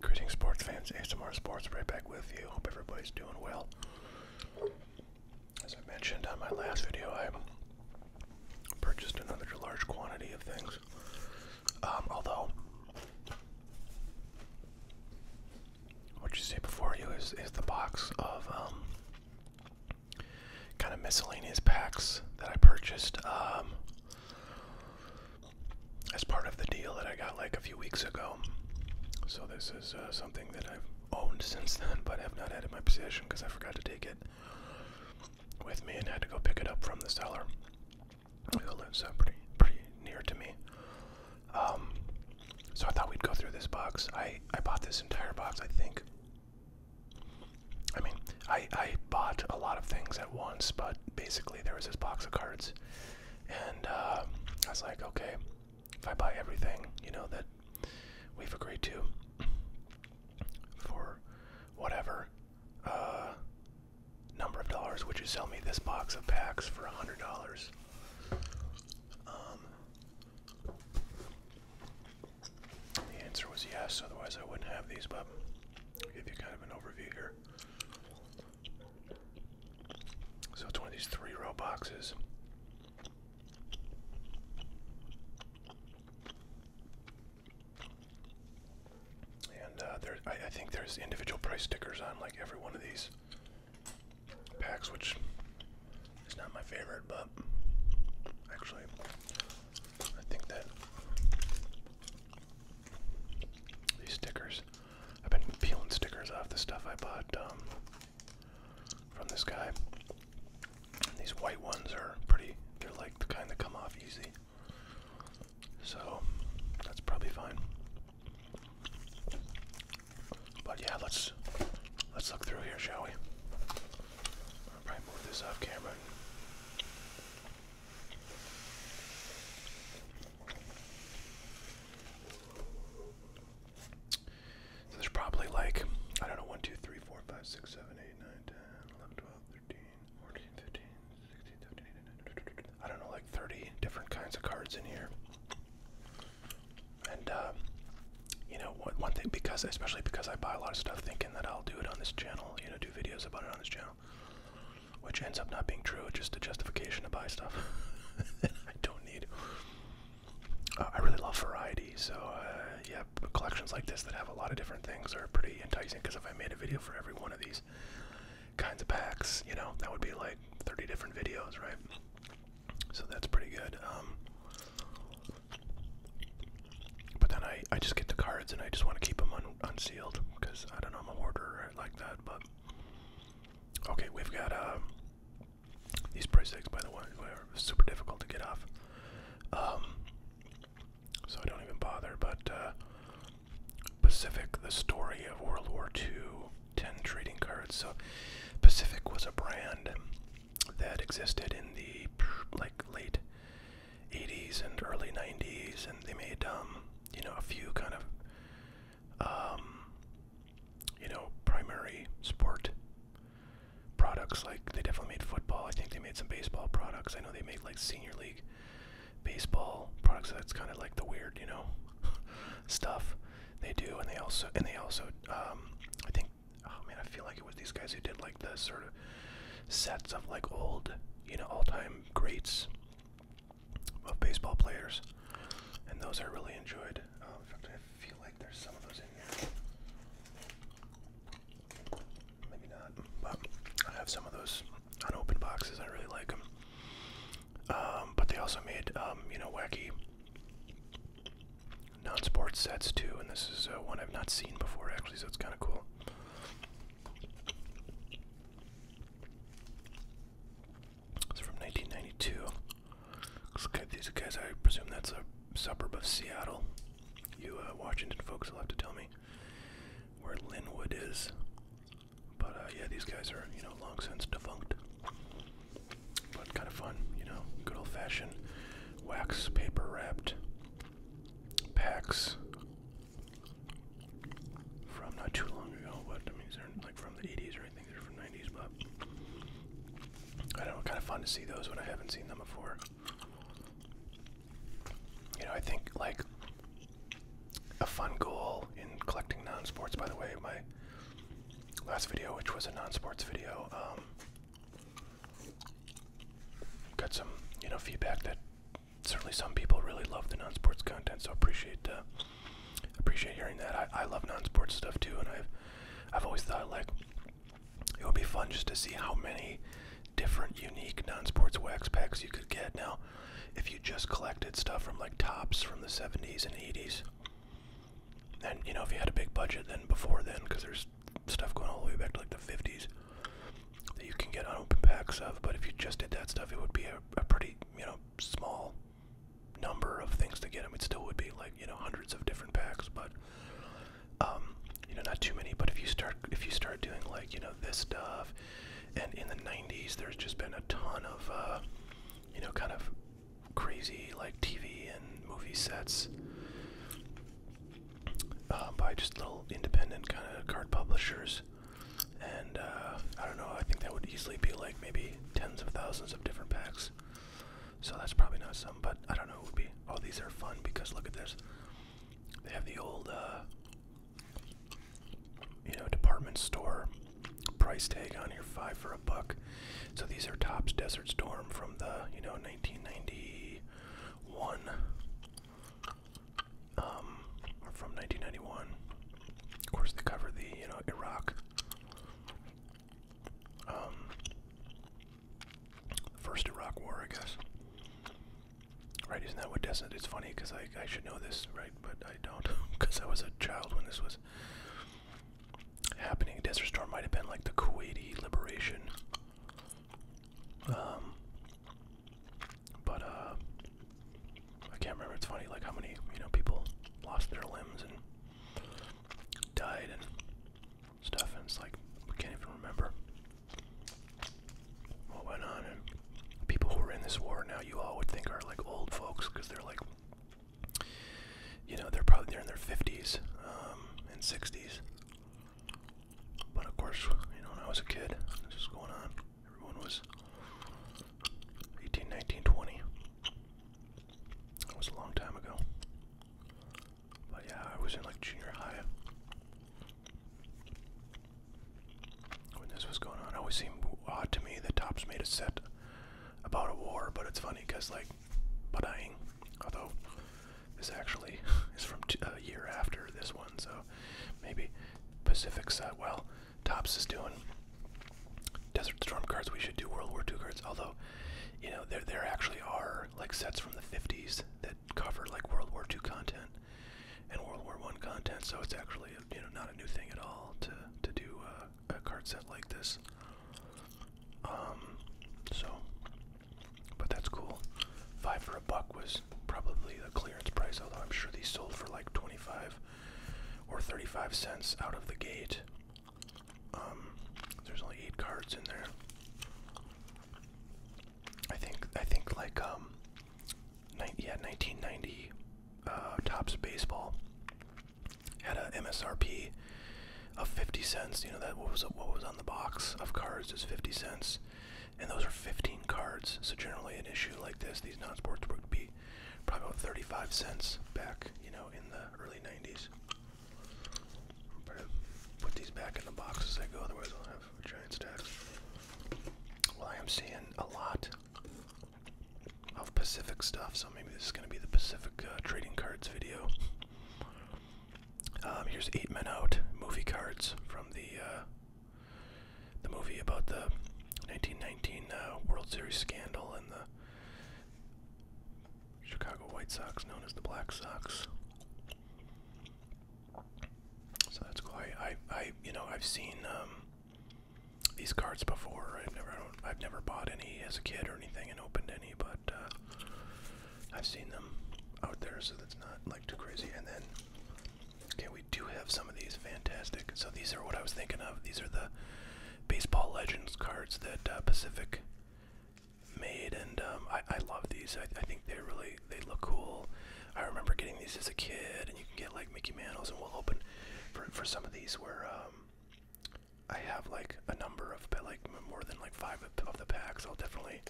Greetings, sports fans. ASMR Sports right back with you. Hope everybody's doing well. As I mentioned on my last video, I purchased another large quantity of things. Um, although what you see before you is, is the box of um, kind of miscellaneous packs that I purchased um, as part of the deal that I got like a few weeks ago. So this is uh, something that I've owned since then, but have not had in my possession because I forgot to take it with me and had to go pick it up from the seller It's lives uh, pretty pretty near to me. Um, so I thought we'd go through this box. I, I bought this entire box, I think. I mean, I, I bought a lot of things at once, but basically there was this box of cards. And uh, I was like, okay, if I buy everything, you know, that we've agreed to for whatever uh, number of dollars, which is sell me this box of packs for a $100? Um, the answer was yes, otherwise I wouldn't have these, but I'll give you kind of an overview here. So it's one of these three row boxes. And uh, there, I think there's individual price stickers on like every one of these packs, which is not my favorite, but actually, I think that these stickers, I've been peeling stickers off the stuff I bought um, from this guy. these white ones are pretty, they're like the kind that come off easy. So, that's probably fine. But yeah, let's let's look through here, shall we? I'll probably move this off camera. there's probably like, I don't know, 1, 2, 3, 4, 5, 6, 7, 8, 9, 10, 11, 12, 13, 14, 15, I don't know, like 30 different kinds of cards in here. And uh, you know, one thing because especially because I buy a lot of stuff thinking that I'll do it on this channel, you know, do videos about it on this channel, which ends up not being true. It's just a justification to buy stuff I don't need. Uh, I really love variety, so uh, yeah, collections like this that have a lot of different things are pretty enticing. Because if I made a video for every one of these kinds of packs, you know, that would be like 30 different videos, right? So that's pretty good. Um, but then I, I just get the cards and I just want to keep them unsealed because I don't know, I'm a hoarder like that. But okay, we've got uh, these price tags, by the way, super difficult to get off. Um, so I don't even bother. But uh, Pacific, the story of World War II. 10 trading cards. So Pacific was a brand that existed in the like late 80s and early 90s and they made um, you know a few kind of um, you know primary sport products like they definitely made football. I think they made some baseball products. I know they made like senior league baseball products. that's kind of like the weird, you know, stuff. They do, and they also and they also um, I think oh man, I feel like it was these guys who did like the sort of sets of like old, you know, all-time greats of baseball players, and those I really enjoyed. Um, in fact, I feel like there's some of those in here. Maybe not, but I have some of those unopened boxes. I really like them. Um, but they also made, um, you know, wacky non-sports sets too, and this is uh, one I've not seen before actually, so it's kind of cool. It's from 1992. These guys, I presume that's a suburb of Seattle. You uh, Washington folks will have to tell me where Linwood is. But uh, yeah, these guys are, you know, long since defunct. But kind of fun, you know, good old fashioned wax paper wrapped packs from not too long ago. But I mean, they're like from the 80s or anything, they're from 90s, but I don't know, kind of fun to see those when I haven't seen them before. You know, I think like a fun goal in collecting non sports, by the way, my last video, which was a non-sports video, um, got some you know feedback that certainly some people really love the non-sports content. So appreciate uh, appreciate hearing that. I, I love non-sports stuff too, and I've I've always thought like it would be fun just to see how many different unique non-sports wax packs you could get now if you just collected stuff from like tops from the 70s and 80s and you know, if you had a big budget, then before then, because there's stuff going all the way back to like the 50s that you can get unopened packs of. But if you just did that stuff, it would be a, a pretty you know small number of things to get them. It still would be like you know hundreds of different packs, but um, you know not too many. But if you start if you start doing like you know this stuff, and in the 90s, there's just been a ton of uh, you know kind of crazy like TV and movie sets uh, by just little independent kind of card publishers. And uh, I don't know, I think that would easily be like maybe tens of thousands of different packs. So that's probably not some, but I don't know, it would be. Oh, these are fun because look at this. They have the old, uh, you know, department store price tag on here, five for a buck. So these are Topps Desert Storm from the you know 1991, um, from 1991. Of course, they cover the you know Iraq. Um, first Iraq War, I guess. Right? Isn't that what Descent? It's funny because I I should know this, right? But I don't, because I was a child when this was happening. Desert Storm might have been like the Kuwaiti liberation. Um, but uh, I can't remember. It's funny, like how many you know people lost their limbs and died and stuff, and it's like we can't even remember what went on. And people who were in this war now, you all would think are like old folks because they're like you know they're probably they're in their 50s um, and 60s but of course you know when i was a kid this was going on everyone was 18 19 20 that was a long time ago but yeah i was in like junior high when this was going on it always seemed odd to me that tops made a set about a war, but it's funny because like Padang, although this actually is from a year after this one, so maybe Pacific side. Well, Tops is doing Desert Storm cards. We should do World War II cards, although you know there there actually are like sets from the 50s that cover like World War II content and World War One content. So it's actually you know not a new thing at all to to do. Uh, a card set like this. Um, so, but that's cool. Five for a buck was probably a clearance price, although I'm sure these sold for like 25 or 35 cents out of the gate. Um, there's only eight cards in there. I think I think like um, yeah, 1990 uh, tops baseball had a MSRP of 50 cents. You know that was what was on the box of cards is 50 cents, and those are 15 cards. So generally, an issue like this, these non-sports would be probably 35 cents back. You know, in the early 90s. put these back in the box as I go, otherwise I'll have a giant stack. Well, I am seeing a lot of Pacific stuff, so maybe this is going to be the Pacific uh, trading cards video. Um, here's Eight Men Out movie cards from the uh, the movie about the 1919 uh, World Series scandal and the Chicago White Sox, known as the Black Sox. So that's cool. I, I, you know, I've seen um, these cards before. I've never, I don't, I've never bought any as a kid or anything and opened any, but uh, I've seen them out there, so that's not like too crazy. And then, okay, we do have some of these fantastic. So these are what I was thinking of. These are the baseball legends cards that uh, Pacific made, and um, I, I love these. I, I think they really they look cool. I remember getting these as a kid, and you can get like Mickey Mantles, and we'll open for for some of these where um, I have like a number of, like more than like five of the packs, I'll definitely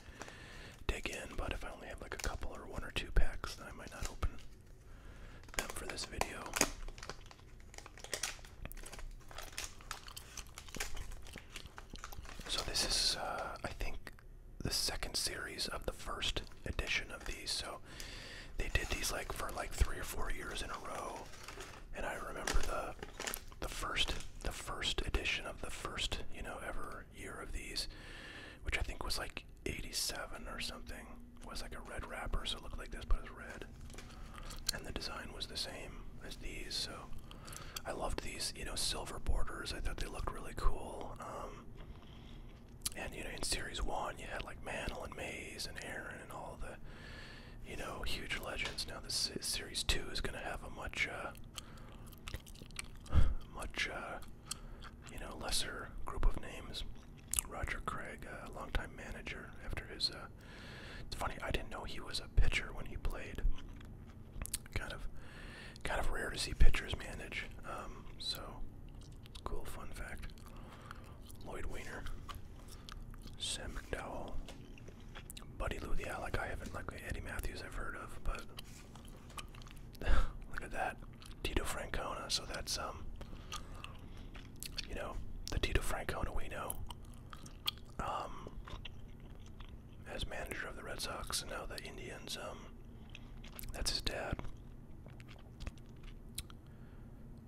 dig in. But if I only have like a couple or one or two packs, I might not open them for this video. So this is, uh, I think, the second series of the first edition of these. So they did these like for like three or four years in a row. And I remember the the first the first edition of the first, you know, ever year of these, which I think was like 87 or something. It was like a red wrapper, so it looked like this, but it was red. And the design was the same as these, so I loved these, you know, silver borders. I thought they looked really cool. Um, and you know, in series one, you had like Mantle and Maze and Aaron and all the you know, huge legends. Now this series two is going to have a much, uh, much, uh, you know, lesser group of names. Roger Craig, a uh, longtime manager, after his, uh, it's funny, I didn't know he was a pitcher when he played. Kind of, kind of rare to see pitchers manage. Um, so, cool fun fact. Lloyd Weiner, Sam McDowell, Buddy Lou the Alec. I haven't like Eddie Matthews. I've heard of, but look at that, Tito Francona. So that's um, you know, the Tito Francona we know. Um, as manager of the Red Sox and now the Indians. Um, that's his dad.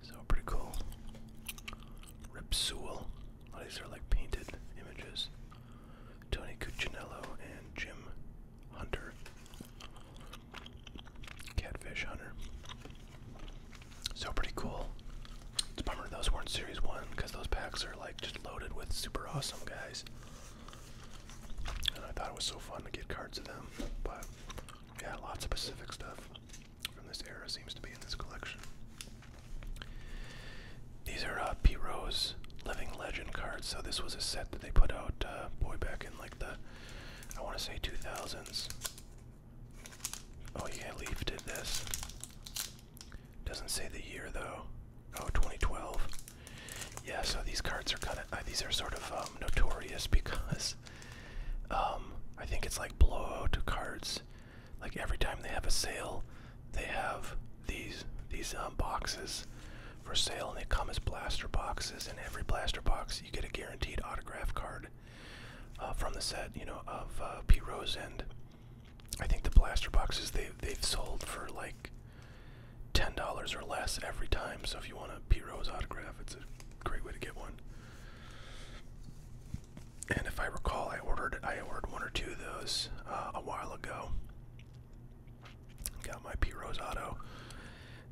So pretty cool. Ripsewell. All oh, these are like painted images. Tony Cuccinello and Jim Hunter. Catfish Hunter. So pretty cool. It's a bummer those weren't series one because those packs are like just loaded with super awesome guys. And I thought it was so fun to get cards of them. But yeah, lots of Pacific stuff from this era seems to be in this collection. These are uh, P. Rose Living Legend cards. So this was a set that they put out, uh, boy, back in like the, I want to say 2000s. Oh yeah, Leaf did this. Doesn't say the year though. Oh, 2012. Yeah, so these cards are kind of, uh, these are sort of um, notorious because um, I think it's like blowout cards. Like every time they have a sale, they have these these um, boxes for sale, and they come as blaster boxes. And every blaster box, you get a guaranteed autograph card uh, from the set. You know of uh, P Rose, and I think the blaster boxes they they've sold for like ten dollars or less every time. So if you want a P Rose autograph, it's a great way to get one and if I recall, I ordered I ordered one or two of those uh, a while ago. Got my P Rosado,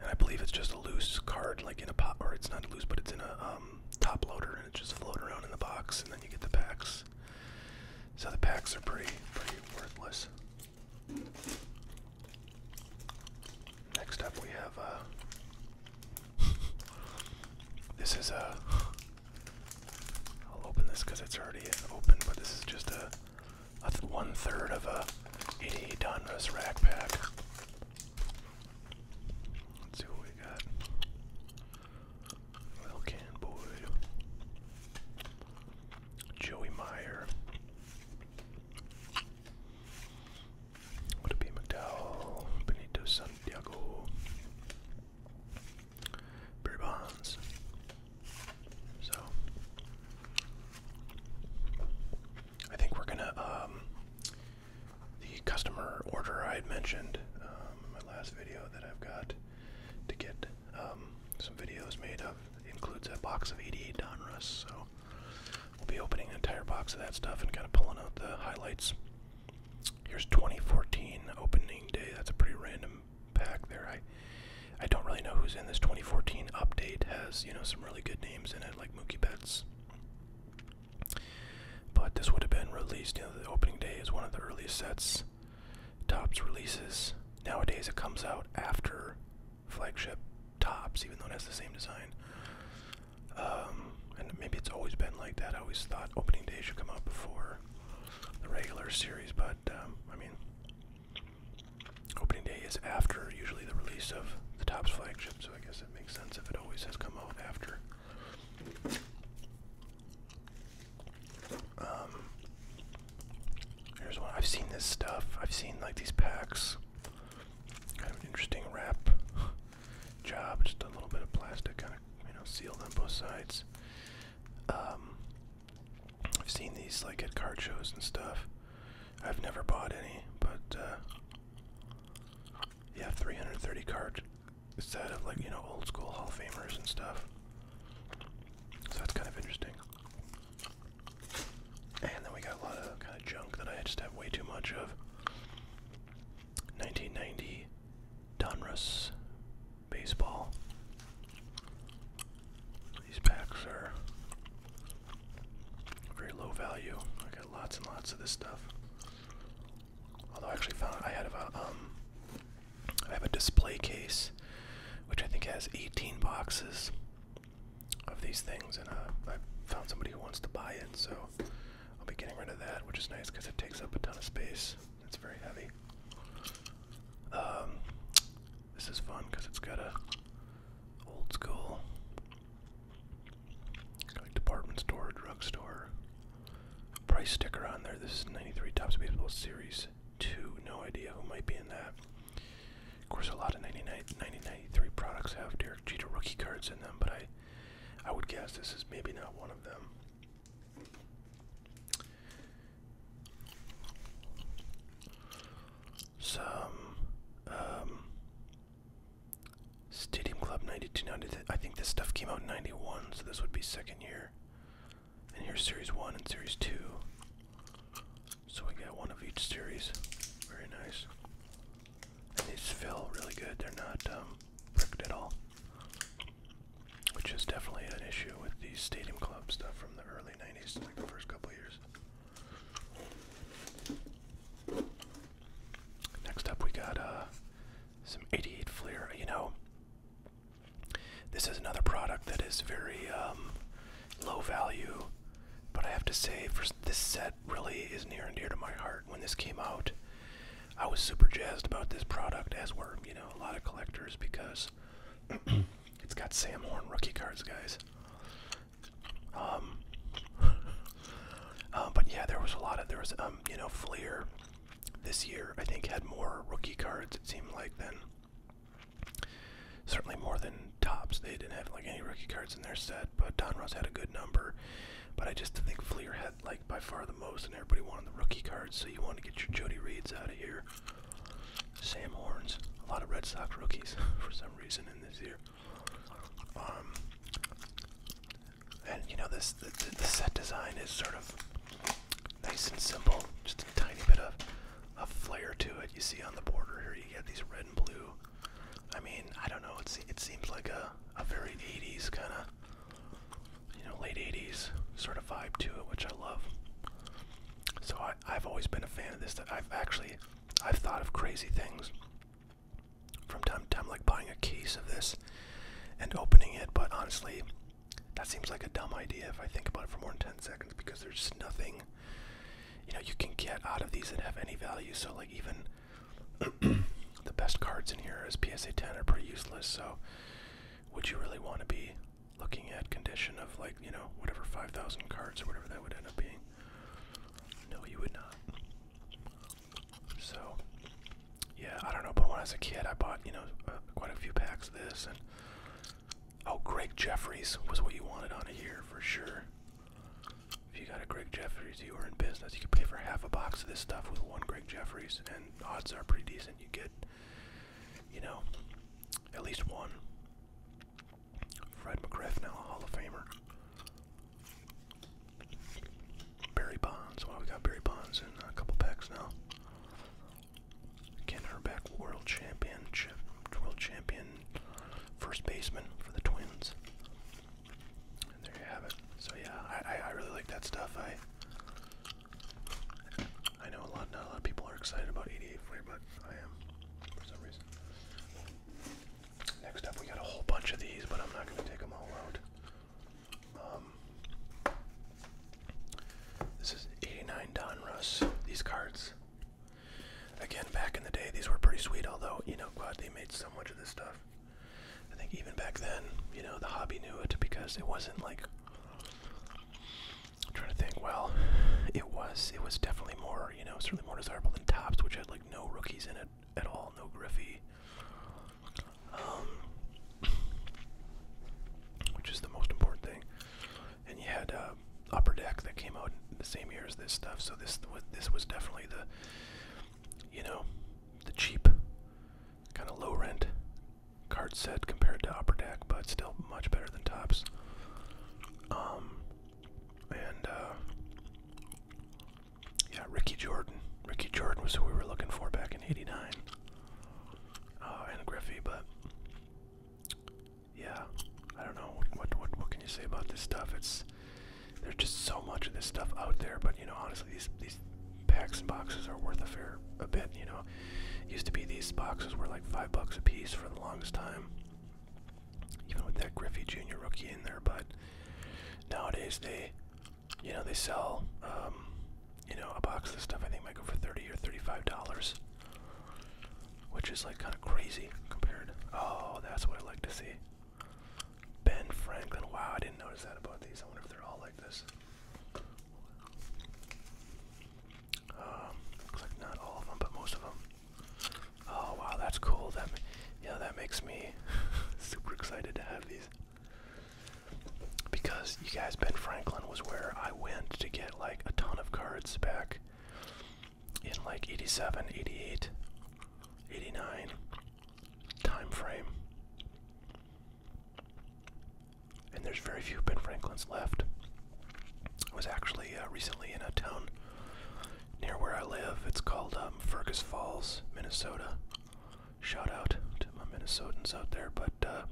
and I believe it's just a loose card, like in a pot, or it's not loose, but it's in a um, top loader, and it just floats around in the box, and then you get the packs. So the packs are pretty pretty worthless. Next up, we have. Uh, this is a. Uh, I'll open this because it's already open, but this is just a, a one third of a 88 Donruss rack pack. Let's see what we got. Well, Can Boyd, Joey Meyer, would it be McDowell, Benito Santiago, Barry Bonds? So I think we're gonna um, the customer order I had mentioned um, in my last video that I've got to get um, some videos made of includes a box of 88 Donruss, so we'll be opening an entire box of that stuff and kind of pulling out the highlights Here's 2014 opening day. That's a pretty random pack there. I I don't really know who's in this 2014 update. Has you know some really good names in it like Mookie Betts. But this would have been released. You know, the opening day is one of the earliest sets. Tops releases nowadays. It comes out after flagship Tops, even though it has the same design. Um, and maybe it's always been like that. I always thought opening day should come out before the regular series, but um, I mean, opening day is after usually the release of the Topps flagship, so I guess it makes sense if it always has come out after. Um, here's one. I've seen this stuff. I've seen like these packs. Kind of an interesting wrap job. Just a little bit of plastic, kind of you know, sealed on both sides. Um, I've seen these like at card shows and stuff. I've never bought any, but uh, yeah, 330 card set of like you know old school Hall of Famers and stuff. So that's kind of interesting. And then we got a lot of kind of junk that I just have way too much of. 1990 Donruss baseball. These packs are very low value. I got lots and lots of this stuff. Although I actually found I had a um I have a display case which I think has 18 boxes of these things and uh, I found somebody who wants to buy it so I'll be getting rid of that, which is nice because it takes up a ton of space. It's very heavy. Um, this is fun because it's got a old school department store, drugstore price sticker on there. This is 93 Topps Baseball Series 2. No idea who might be in that. Of course, a lot of 99, 1993 products have Derek Jeter rookie cards in them, but I I would guess this is maybe not one of them. Some um, Stadium Club 92, I think this stuff came out in 91, so this would be second year. And here's Series 1 and Series 2. So we got one of each series. Very nice. And these feel really good. They're not um, bricked at all. Which is definitely an issue with these Stadium Club stuff from the early 90s, like the first couple years. Next up, we got uh, some 88 Fleer. You know, this is another product that is very um, low value, but I have to say, for this set, really is near and dear to my heart. When this came out, I was super jazzed about this product, as were, you know, a lot of collectors because it's got Sam Horn rookie cards, guys. Um, uh, but yeah, there was a lot of there was um, you know, Fleer this year I think had more rookie cards it seemed like than certainly more than tops. They didn't have like any rookie cards in their set, but Donruss had a good number. But I just think Fleer had like by far the most, and everybody wanted the rookie cards. So you want to get your Jody Reeds out of here. Sam Horns, a lot of Red Sox rookies for some reason in this year. Um, and you know this the, the, the set design is sort of nice and simple, just a tiny bit of a flare to it. You see on the border here, you get these red and blue I mean, I don't know. It's, it seems like a a very 80s kind of, you know, late 80s sort of vibe to it, which I love. So I, I've always been a fan of this. That I've actually, I've thought of crazy things from time to time, like buying a case of this and opening it. But honestly, that seems like a dumb idea if I think about it for more than 10 seconds because there's just nothing, you know, you can get out of these that have any value. So like even the best cards in here as PSA 10 are pretty useless, so would you really want to be looking at condition of like, you know, whatever 5,000 cards or whatever that would end up being? No, you would not. So, yeah, I don't know, but when I was a kid, I bought, you know, uh, quite a few packs of this, and oh, Greg Jeffries was what you wanted on here for sure. If you got a Greg Jeffries, you are in business. You can pay for half a box of this stuff with one Greg Jeffries, and odds are pretty decent you get, you know, at least one. Fred McGriff, now a Hall of Famer. Barry Bonds. Wow, we got Barry Bonds in a couple packs now. Ken Herbeck, world champion, world champion, first baseman for the Twins there you have it. So yeah, I, I, really like that stuff. I I know a lot not a lot of people are excited about 88 but I am for some reason. Next up we got a whole bunch of these, but I'm not gonna take them all out. Um, this is 89 Don Ross. These cards. Again, back in the day, these were pretty sweet, although, you know, God, they made so much of this stuff. I think even back then, you know, the hobby knew it because it wasn't like I'm trying to think, well, it was it was definitely more, you know, certainly more desirable than Tops, which had like no rookies in it at all, no Griffey. Um, which is the most important thing. And you had uh, upper deck that came out the same year as this stuff, so this this was definitely the you know, the cheap, kind of low rent card set compared to Upper Deck, but still much better than Tops. Um, and uh, yeah, Ricky Jordan. Ricky Jordan was who we were looking for back in '89, uh, and Griffey. But yeah, I don't know what what what can you say about this stuff? It's there's just so much of this stuff out there. But you know, honestly, these packs and boxes are worth a fair a bit. You know, used to be these boxes were like five bucks a piece for the longest time. Even with that Griffey Jr. rookie in there, but nowadays they, you know, they sell, um, you know, a box of stuff I think might go for thirty or thirty-five dollars, which is like kind of crazy compared. Oh, that's what I like to see. Ben Franklin. Wow, I didn't notice that about these. I wonder if they're all like this. Um, looks like not all of them, but most of them. Oh wow, that's cool. That, yeah, that makes me super excited to have these because you guys, Ben Franklin was where I went to get like a ton of cards back in like 87, 88, 89 time frame. And there's very few Ben Franklins left. I was actually uh, recently in a town near where I live. It's called um, Fergus Falls, Minnesota. Shout out to my Minnesotans out there. But uh,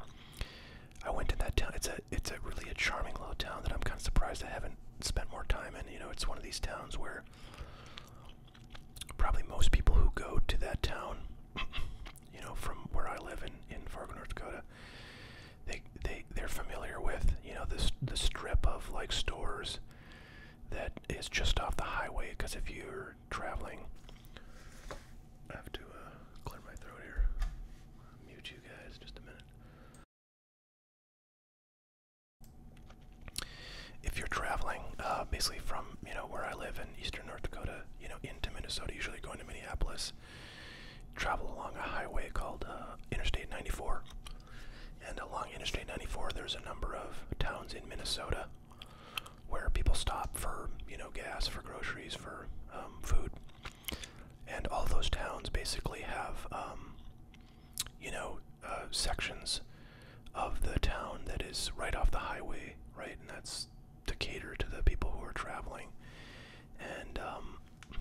I went in that town. It's a it's a really a charming little town that I'm kind of surprised I haven't spent more time in. You know, it's one of these towns where probably most people who go to that town, you know, from where I live in in Fargo, North Dakota, they they they're familiar with you know this the strip of like stores that is just off the highway. Because if you're traveling, I have to uh, clear my throat here. mute you guys just a minute. If you're traveling, uh, basically from you know where I live in eastern North Dakota, you know into Minnesota, usually going to Minneapolis, travel along a highway called uh, Interstate 94, and along Interstate 94, there's a number of towns in Minnesota where people stop for you know gas, for groceries, for um, food, and all those towns basically have um, you know, uh, sections of the town that is right off the highway, right? And that's to cater to the people who are traveling. And um,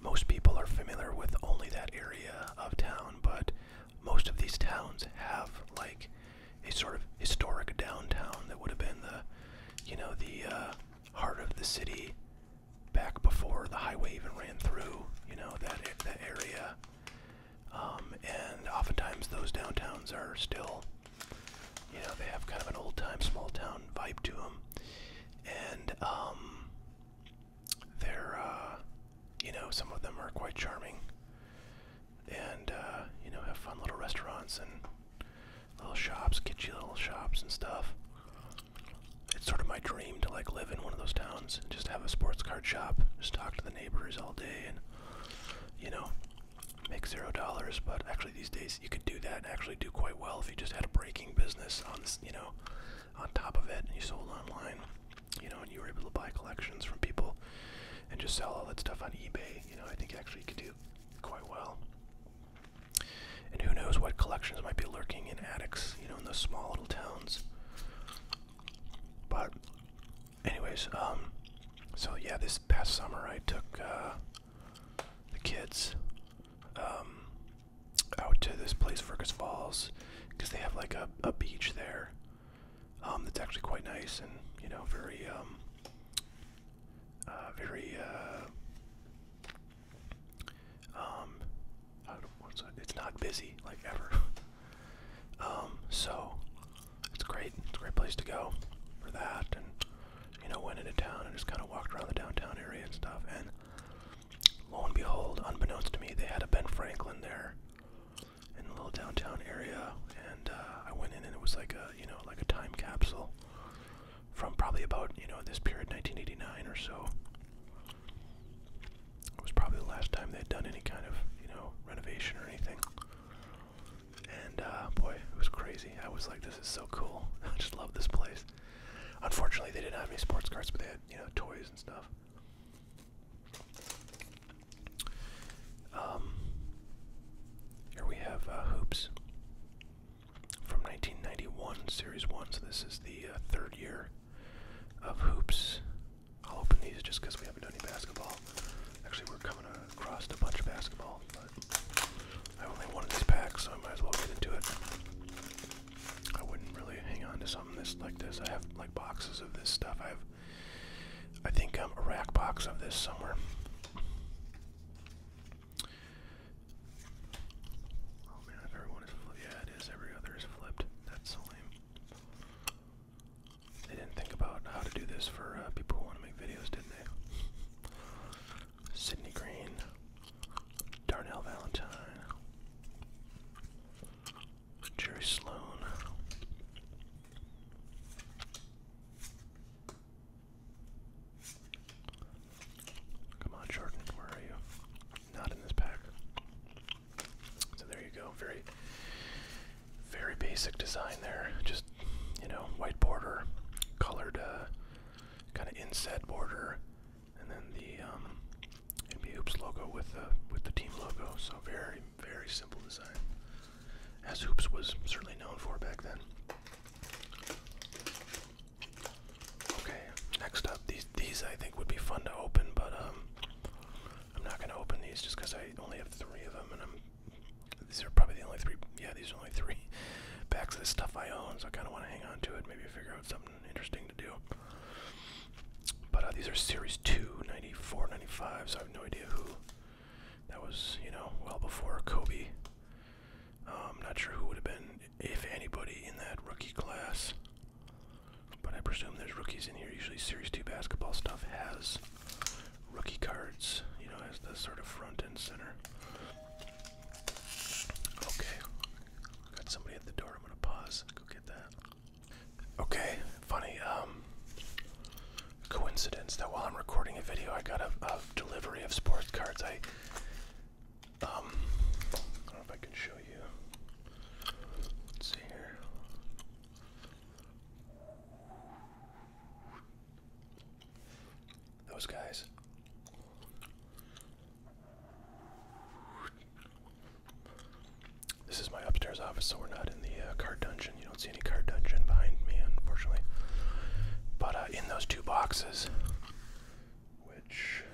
most people are familiar with only that area of town, but most of these towns have like a sort of historic downtown that would have been the, you know, the uh, heart of the city back before the highway even ran through. You know that that area um, and oftentimes those downtowns are still, you know, they have kind of an old time, small town vibe to them. And um, they're, uh, you know, some of them are quite charming and, uh, you know, have fun little restaurants and little shops, kitschy little shops and stuff it's sort of my dream to like live in one of those towns and just have a sports card shop, just talk to the neighbors all day and you know, make zero dollars. But actually these days you could do that and actually do quite well if you just had a breaking business on this, you know, on top of it and you sold online, you know, and you were able to buy collections from people and just sell all that stuff on eBay. You know, I think actually you could do quite well. And who knows what collections might be lurking in attics, you know, in those small little towns. But, anyways, um, so yeah, this past summer I took uh, the kids um, out to this place, Fergus Falls, because they have like a, a beach there um, that's actually quite nice and, you know, very, um, uh, very, uh, um, it's not busy like ever. um, so it's great. It's a great place to go for that, and you know, went into town and just kind of walked around the downtown area and stuff. And lo and behold, unbeknownst to me, they had a Ben Franklin there in the little downtown area. And uh, I went in, and it was like a you know like a time capsule from probably about you know this period 1989 or so it was probably the last time they'd done any kind of, you know, renovation or anything. And uh, boy, it was crazy. I was like, this is so cool. I just love this place. Unfortunately, they didn't have any sports cards, but they had, you know, toys and stuff. Um, here we have uh, Hoops from 1991, Series 1. So this is the uh, third year of hoops. I'll open these just because we haven't done any basketball. Actually, we're coming across a bunch of basketball, but I have only one of these packs, so I might as well get into it. I wouldn't really hang on to something this like this. I have like boxes of this stuff. I have, I think, um, a rack box of this somewhere. Oh man, if everyone is flipped, yeah, it is. Every other is flipped. That's lame. They didn't think about how to do this for uh, people who want to make videos, did they? Sydney Green, Darnell Valentine, Jerry Sloan. Come on, Jordan, where are you? not in this pack. So there you go. Very, very basic design there. Just you know, white border, colored uh, kind of inset border, and then the um, NBA Hoops logo with the with the team logo. So very, very simple design, as Hoops was certainly known for back then. Okay, next up, these these I think would be fun to open, but um, I'm not gonna open these just because I only have three of them, and These are probably the only three. Yeah, these are only three packs of this stuff I own, so I kind of want to hang on to it. Maybe figure out something interesting to do. But uh, these are Series 2, 94, 95, so I have no idea who. That was, you know, well before Kobe. I'm um, not sure who would have been, if anybody, in that rookie class. But I presume there's rookies in here. Usually Series 2 basketball stuff has rookie cards, you know, as the sort of front and center. Okay. Got somebody at the door. I'm going to pause. Go get that. Okay. Funny. Um, coincidence that while I'm recording a video, I got a, delivery of sports cards. I. Um, I don't know if I can show you. Let's see here. Those guys. This is my upstairs office, so we're not in the uh, card dungeon. You don't see any card dungeon behind me, unfortunately. But uh, in those two boxes, which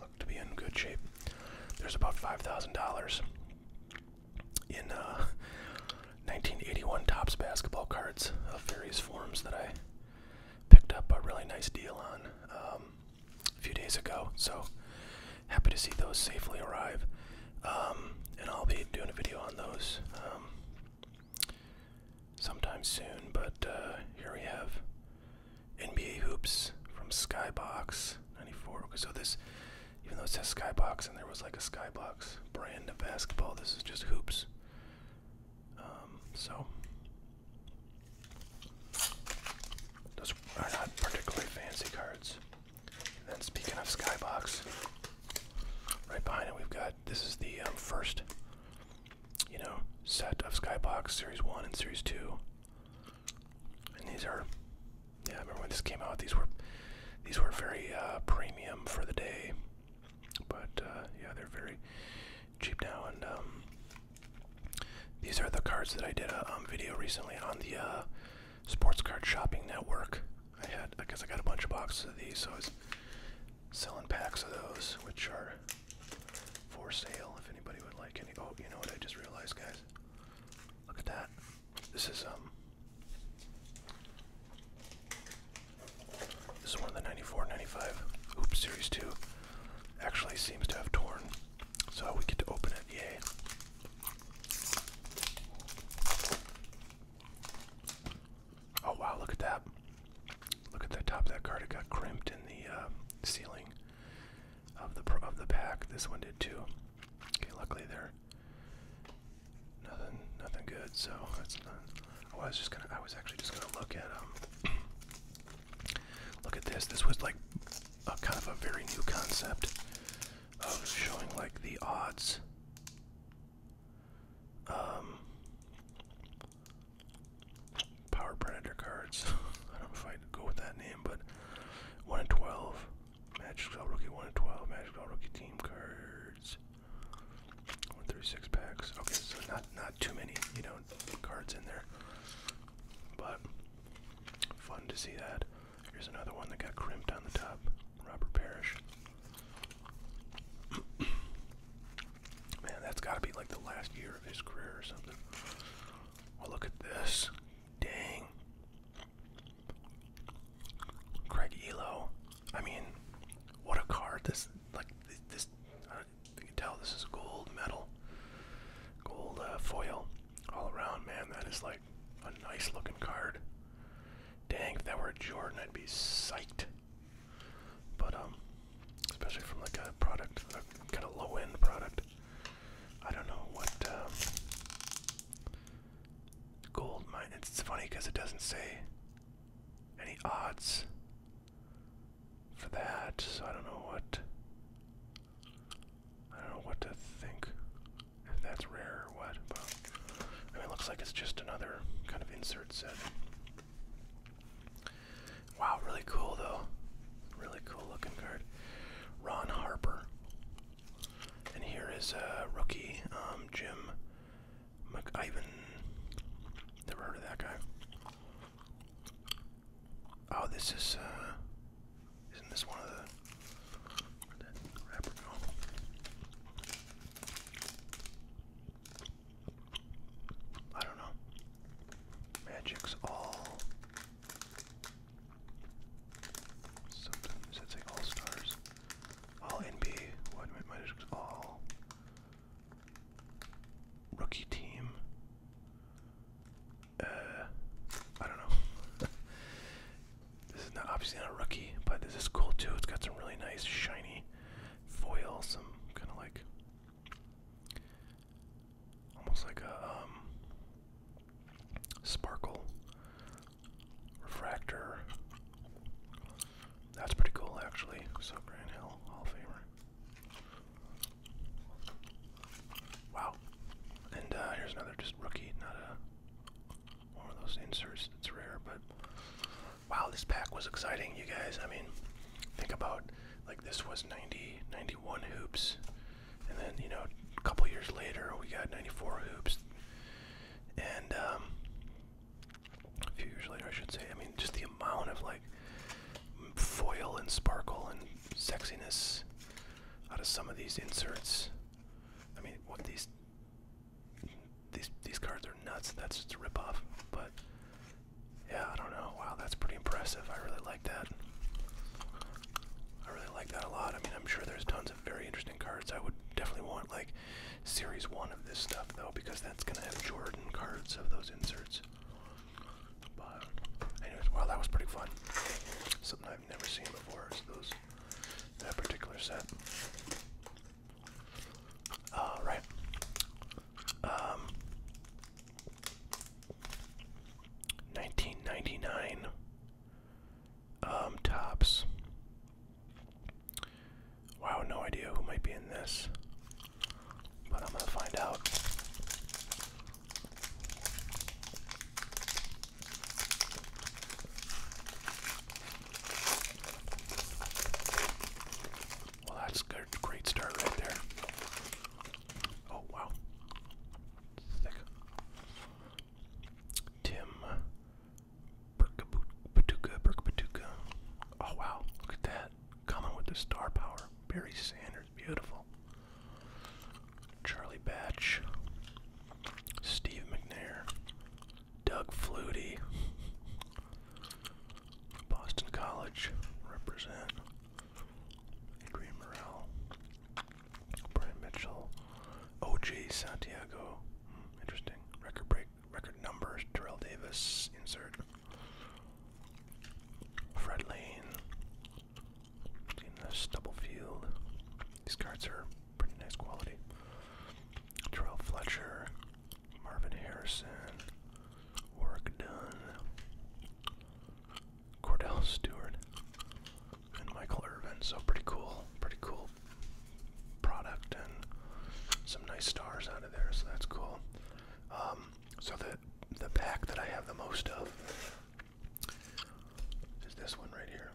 look to be in good shape. There's about $5,000 in 1981 uh, Topps basketball cards of various forms that I picked up a really nice deal on um, a few days ago. So happy to see those safely arrive. Um, and I'll be doing a video on those um, sometime soon. But uh, here we have NBA hoops from Skybox '94. so this, even though it says Skybox and there was like a Skybox brand of basketball, this is just hoops. Um, so those are not particularly fancy cards. And then speaking of Skybox, right behind it we've got this is the um, first, you know, set of Skybox Series One and Series Two. And these are, yeah, I remember when this came out. These were, these were very uh, premium for the day, but uh, yeah, they're very cheap now. And um, these are the cards that I did a um, video recently on the uh, Sports Card Shopping Network. I had, I guess I got a bunch of boxes of these, so I was selling packs of those, which are for sale if anybody would like any. Oh, you know what I just realized, guys? Look at that. This is um This is one of the 94 95 Oops Series 2. Actually seems to have torn. So we get to open it. Yay. Oh wow, look at that. Look at the top of that card. It got crimped in the uh, ceiling of the of the pack. This one did too. Okay, luckily there. Nothing, nothing good. So I was just gonna. I was actually just gonna look at um. look at this. This was like a kind of a very new concept of showing like the odds. Um. Power Predator cards. I don't know if I go with that name, but 1 in 12. Magic Spell Rookie 1 in 12. Magic Spell Rookie team cards. One six packs. Okay, so not not too many, you know, cards in there. But fun to see that. Here's another one that got crimped on the top. Robert Parrish. Man, that's got to be like the last year of his career or something. Well, look at this. Dang. Craig Elo. I mean, what a card. This, like, this, uh, you can tell this is gold metal. Gold uh, foil all around, man. That is like a nice looking card. Dang, if that were a Jordan, I'd be psyched. But, um, especially from like a product, a kind of low end product. I don't know what um, gold mine. It's funny because it doesn't say any odds for that, so I don't know what. I don't know what to think. If that's rare or what, but it looks like it's just another kind of insert set. Wow, really cool though. Really cool looking card. Ron Harper. And here is a rookie, um, Jim McIvan. Never heard of that guy. Oh, this is, uh, isn't this one of the, I don't know. Magic's all Sometimes it's like all stars. All NBA. What might I all rookie team? Uh I don't know. this is not obviously not rookie, but this is cool too. It's got some really nice shiny foil, some kind of like almost like a um, sparkle refractor. That's pretty cool, actually. So Grand Hill Hall of Famer. Wow. And uh, here's another just rookie, not a one of those inserts It's rare, but wow, this pack was exciting, you guys. I mean, think about like this was 90, 91 hoops and then you know a couple years later we got 94 hoops and um, a few years later I should say I mean just the amount of like foil and sparkle and sexiness out of some of these inserts I mean these these cards are nuts that's just a ripoff but yeah I don't know wow that's pretty impressive I really like that I really like that a lot. I mean, I'm sure there's tons of very interesting cards. I would definitely want like series one of this stuff though, because that's gonna have Jordan cards of those inserts. But anyways, wow, that was pretty fun. Something I've never seen before is those that particular set. Uh, 1999 um tops wow no idea who might be in this but i'm gonna find out well that's a great start right there oh wow Tim Berkabatuka, Berkabatuka. Oh wow, look at that. Coming with the star power. Barry Sanders, beautiful. Charlie Batch. Steve McNair. Doug Flutie. Boston College represent. Adrian Morrell, Brian Mitchell, OJ Santiago, hmm, interesting. Record break, record numbers. Terrell Davis, insert. Fred Lane, in These cards are pretty nice quality. Terrell Fletcher, Marvin Harrison, Work Done, Cordell Stewart, and Michael Irvin. So pretty cool, pretty cool product, and some nice stars out of there. So that's cool. Um, so the the pack that I have the most of is this one right here.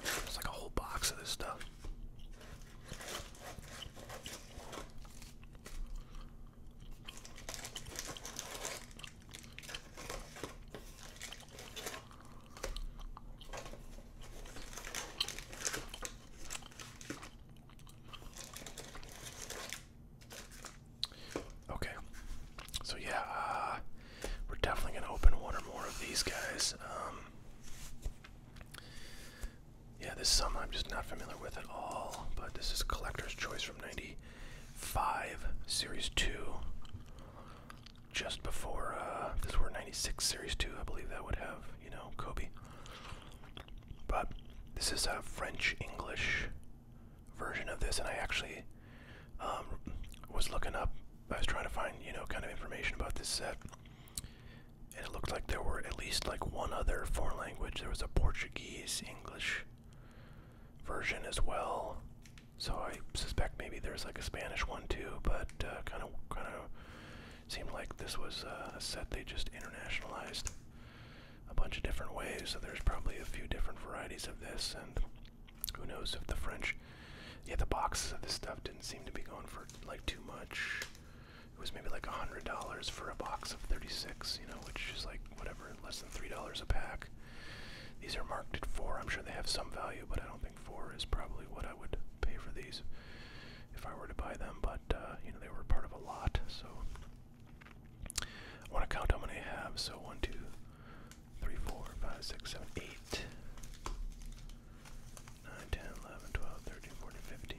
It's like a whole box of this stuff. Okay, so yeah, uh, we're definitely gonna open one or more of these guys. Um, yeah, this is some I'm just not familiar with at all, but this is Collector's Choice from 90, 5, Series 2, just before, uh, this were 96 Series 2, I believe that would have, you know, Kobe. But this is a French English version of this, and I actually um, was looking up, I was trying to find, you know, kind of information about this set. And it looked like there were at least like one other foreign language. There was a Portuguese, English, version as well. So I suspect maybe there's like a Spanish one too, but kind of kind of seemed like this was uh, a set they just internationalized a bunch of different ways. So there's probably a few different varieties of this, and who knows if the French. Yeah, the boxes of this stuff didn't seem to be going for like too much. It was maybe like a hundred dollars for a box of 36, you know, which is like whatever less than three dollars a pack. These are marked at four. I'm sure they have some value, but I don't think four is probably what I would pay for these if I were to buy them. But uh, you know they were part of a lot, so I want to count how many I have. So one, two, three, four, five, six, seven, eight. 9, 10, 11, 12, 13, 14, 15,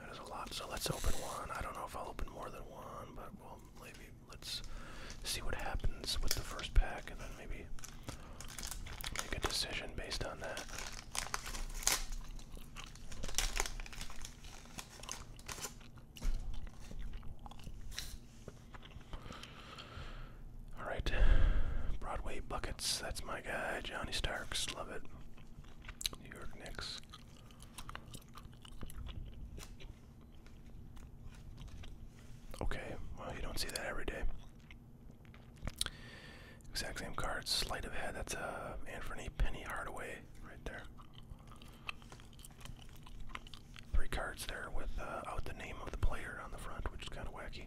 That is a lot, so let's open one. I don't know if I'll open more than one, but well, maybe let's see what happens with the first pack, and then maybe make a decision based on that. All right, Broadway buckets. That's my guy, Johnny Starks. Love it. New York Knicks. Okay, well, you don't see that every day. Exact same card, sleight of hand. That's a uh, Anthony Penny Hardaway right there. Three cards there with uh, out the name of the player on the front, which is kind of wacky.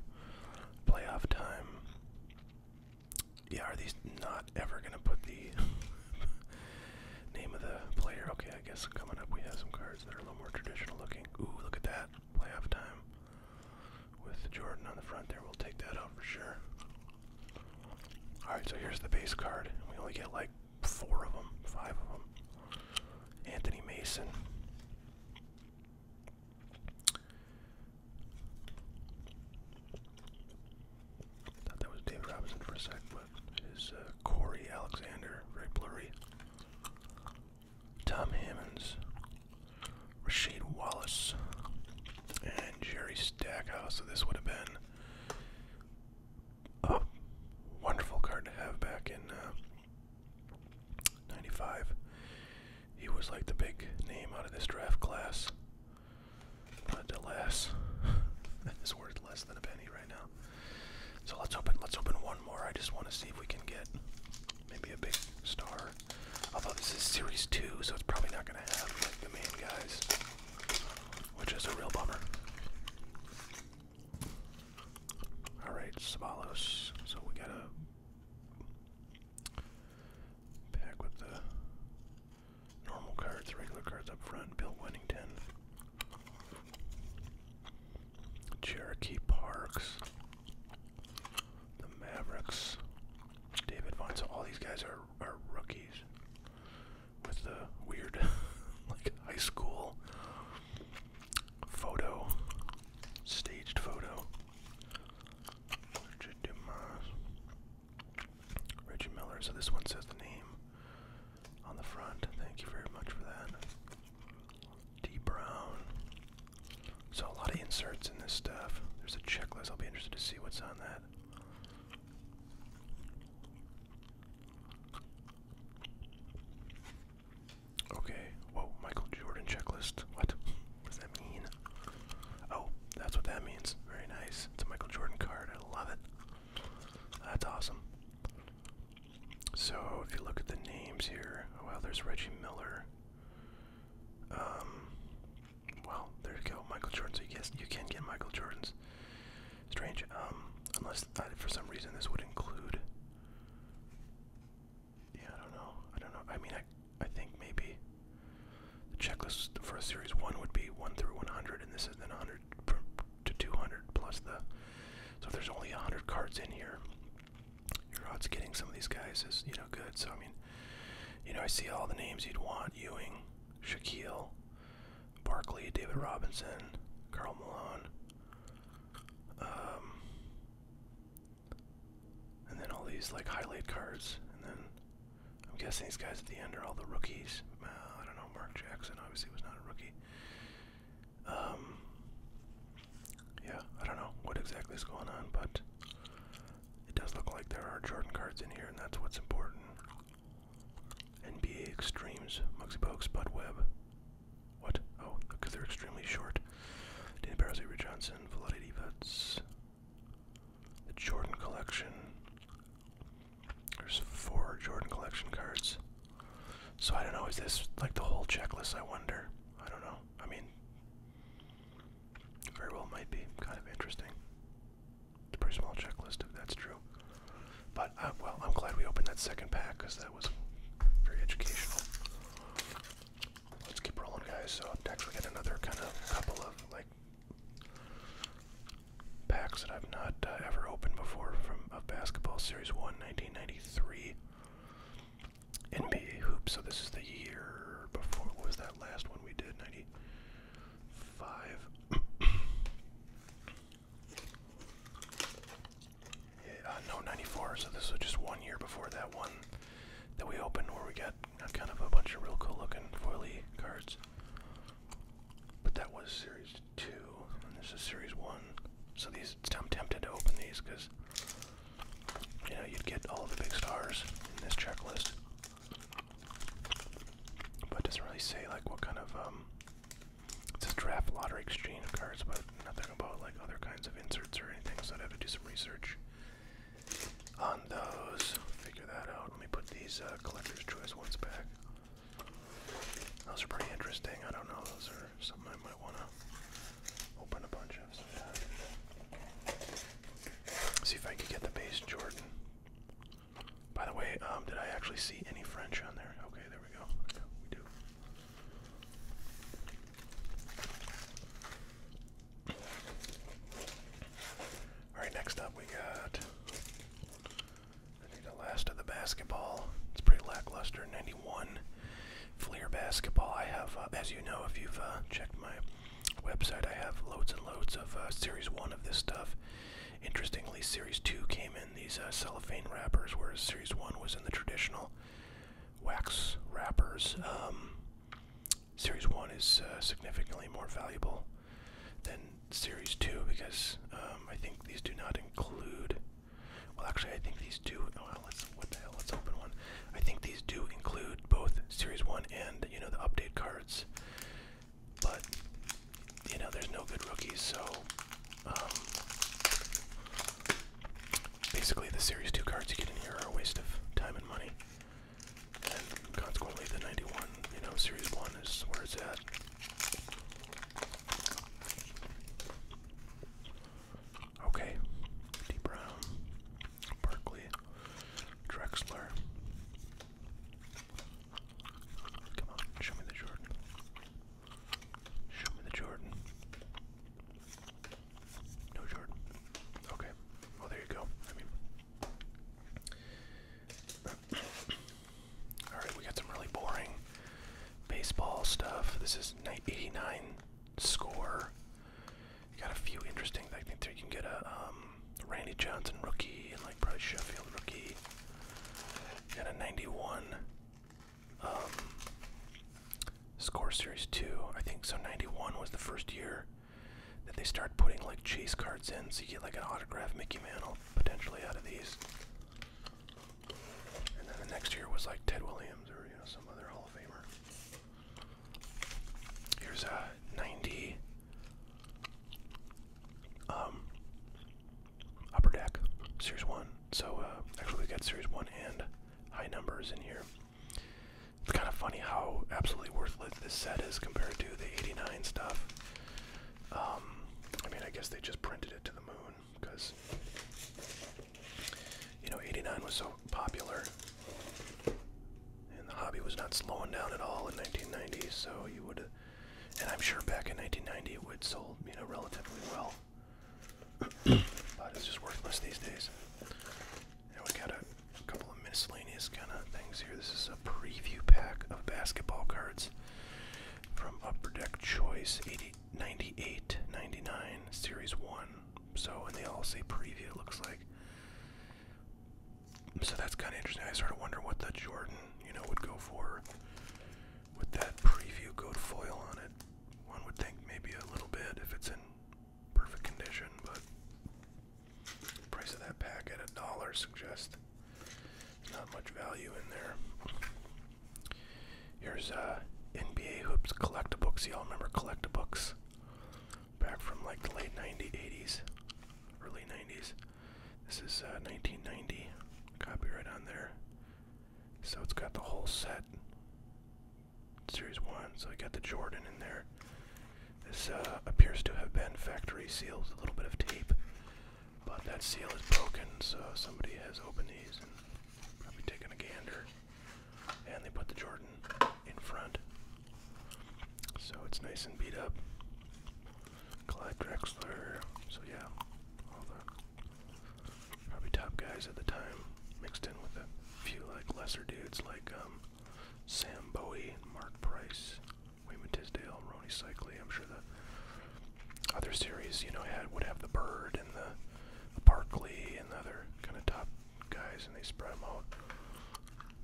Playoff time. Yeah, are these not ever gonna put the Name of the player. Okay, I guess coming up we have some cards that are a little more traditional looking. Ooh, look at that. Playoff time. With the Jordan on the front there, we'll take that out for sure. Alright, so here's the base card. We only get like four of them, five of them. Anthony Mason. Thought that was David Robinson for a sec, but it is uh, Corey Alexander, very blurry. Tom Hammonds, Rashid Wallace, and Jerry Stackhouse. So this would have been a wonderful card to have back in '95. Uh, he was like the big name out of this draft class. But alas, it's worth less than a penny right now. So let's open. Let's open one more. I just want to see if we can get maybe a big star. Although this is series two, so it's probably not going to have like the main guys, which is a real bummer. All right, Savalos. So we got a pack with the normal cards, regular cards up front. Bill Winnington, Cherokee Parks, the Mavericks, David Vaughn. all these guys are are rookies with the weird like high school photo, staged photo. Richard Reggie Miller. So this one says the name on the front. Thank you very much for that. D Brown. So a lot of inserts in this stuff. There's a checklist. I'll be interested to see what's on that. Okay. Whoa, Michael Jordan checklist. What? What does that mean? Oh, that's what that means. Very nice. It's a Michael Jordan card. I love it. That's awesome. So if you look at the names here, oh wow, there's Reggie Miller. Um, well, there you go, Michael Jordan. So you guess you can get Michael Jordan's. Strange. Um, unless uh, for some reason this would include. Yeah, I don't know. I don't know. I mean, I I think maybe the checklist for a series one would be one through one hundred, and this is then one hundred to 200 plus the. So if there's only 100 cards in here, your odds getting some of these guys is you know good. So I mean, you know I see all the names you'd want: Ewing, Shaquille, Barkley, David Robinson, Carl Malone. Um, and then all these like highlight cards, and then I'm guessing these guys at the end are all the rookies. Uh, I don't know. Mark Jackson obviously was not a rookie. Um, yeah, I don't know what exactly is going on, but it does look like there are Jordan cards in here, and that's what's important. NBA Extremes, Mugsy Bogues, Bud Webb. What? Oh, because they're extremely short. Danny Barrows, Avery Johnson, Vladi The Jordan Collection, there's four Jordan collection cards. So I don't know, is this like the whole checklist, I wonder? I don't know. I mean, very well might be. Kind of interesting. It's a pretty small checklist if that's true. But, uh, well, I'm glad we opened that second pack because that was very educational. Let's keep rolling, guys. So, next we get another kind of couple of, like, packs that I've not uh, ever opened before from a uh, basketball series 1 1993 NBA hoop. So this is the year before. was that last one we did? 95. yeah, uh, no, 94. So this was just one year before that one that we opened where we got uh, kind of a bunch of real cool looking foily cards. But that was series two, and this is series one. So these, I'm tempted to open these because, you know, you'd get all the big stars in this checklist. But it doesn't really say like what kind of um. It's a draft lottery exchange of cards, but nothing about like other kinds of inserts or anything. So I'd have to do some research on those. Figure that out. Let me put these uh, collector's choice ones back. Those are pretty interesting. I don't know. Those are something I might want to open a bunch of See if I can get the base Jordan. By the way, um, did I actually see any French on there? Okay, there we go. we do. All right, next up we got I think the last of the basketball. It's pretty lackluster. 91 Fleer basketball. I have, uh, as you know, if you've uh, checked my website, I have loads and loads of uh, Series 1 of this stuff. Interestingly, Series 2 came in these uh, cellophane wrappers, whereas Series 1 was in the traditional wax wrappers. Um, series 1 is uh, significantly more valuable than Series 2 because um, I think these do not include. Well, actually, I think these do. Oh, let's, what the hell? Let's open one. I think these do include both Series 1 and, you know, the update cards. But, you know, there's no good rookies, so. Um, basically, the Series 2 cards you get in here are a waste of time and money consequently the 91, you know, series 1 is where it's at. Okay, D. Brown, Berkeley, Drexler. Come on, show me the Jordan. Show me the Jordan. No Jordan. Okay. Well, there you go. All right, we got some really boring baseball stuff. This is 89 score. got a few interesting. I think you can get a um, Randy Johnson rookie and like probably Sheffield rookie. You got a 91 um, score series two. I think so. 91 was the first year that they started putting like chase cards in, so you get like an autograph Mickey Mantle potentially out of these. And then the next year was like Ted Williams or you know some other Hall of Famer. Here's a 90 um, upper deck series one. So uh, actually we got series one and high numbers in here. It's kind of funny how absolutely worthless this set is compared to the 89 stuff. Um, I mean, I guess they just printed it to the moon because, you know, 89 was so popular. And the hobby was not slowing down at all in 1990, so you would, and I'm sure back in 1990 it would sold, you know, relatively well. but it's just worthless these days. And we got a, couple of miscellaneous kind of things here. This is a preview pack of basketball cards from Upper Deck Choice 80, 98, 99, Series 1. So, and they all say preview, it looks like. So that's kind of interesting. I sort of wonder what the Jordan, you know, would go for with that preview goat foil on it. One would think maybe a little bit if it's in perfect condition, but Price of that pack at a dollar suggests not much value in there. Here's uh, NBA Hoops Collectabooks. Y'all remember Collectabooks? Back from like the late 90s, early 90s. This is 1990. Uh, Copyright on there. So it's got the whole set. Series 1. So we got the Jordan in there. This uh, appears to have been factory sealed, a little bit of tape. But that seal is broken, so somebody has opened these and probably taken a gander. And they put the Jordan in front. So it's nice and beat up. Clyde Drexler, so yeah, all the probably top guys at the time mixed in with a few like lesser dudes like um, Sam Bowie and Mark Price. Wayman Tisdale, Ronnie Cycli. I'm sure the other series, you know, had would have the Bird and the, the Barkley and the other kind of top guys, and they spread them out.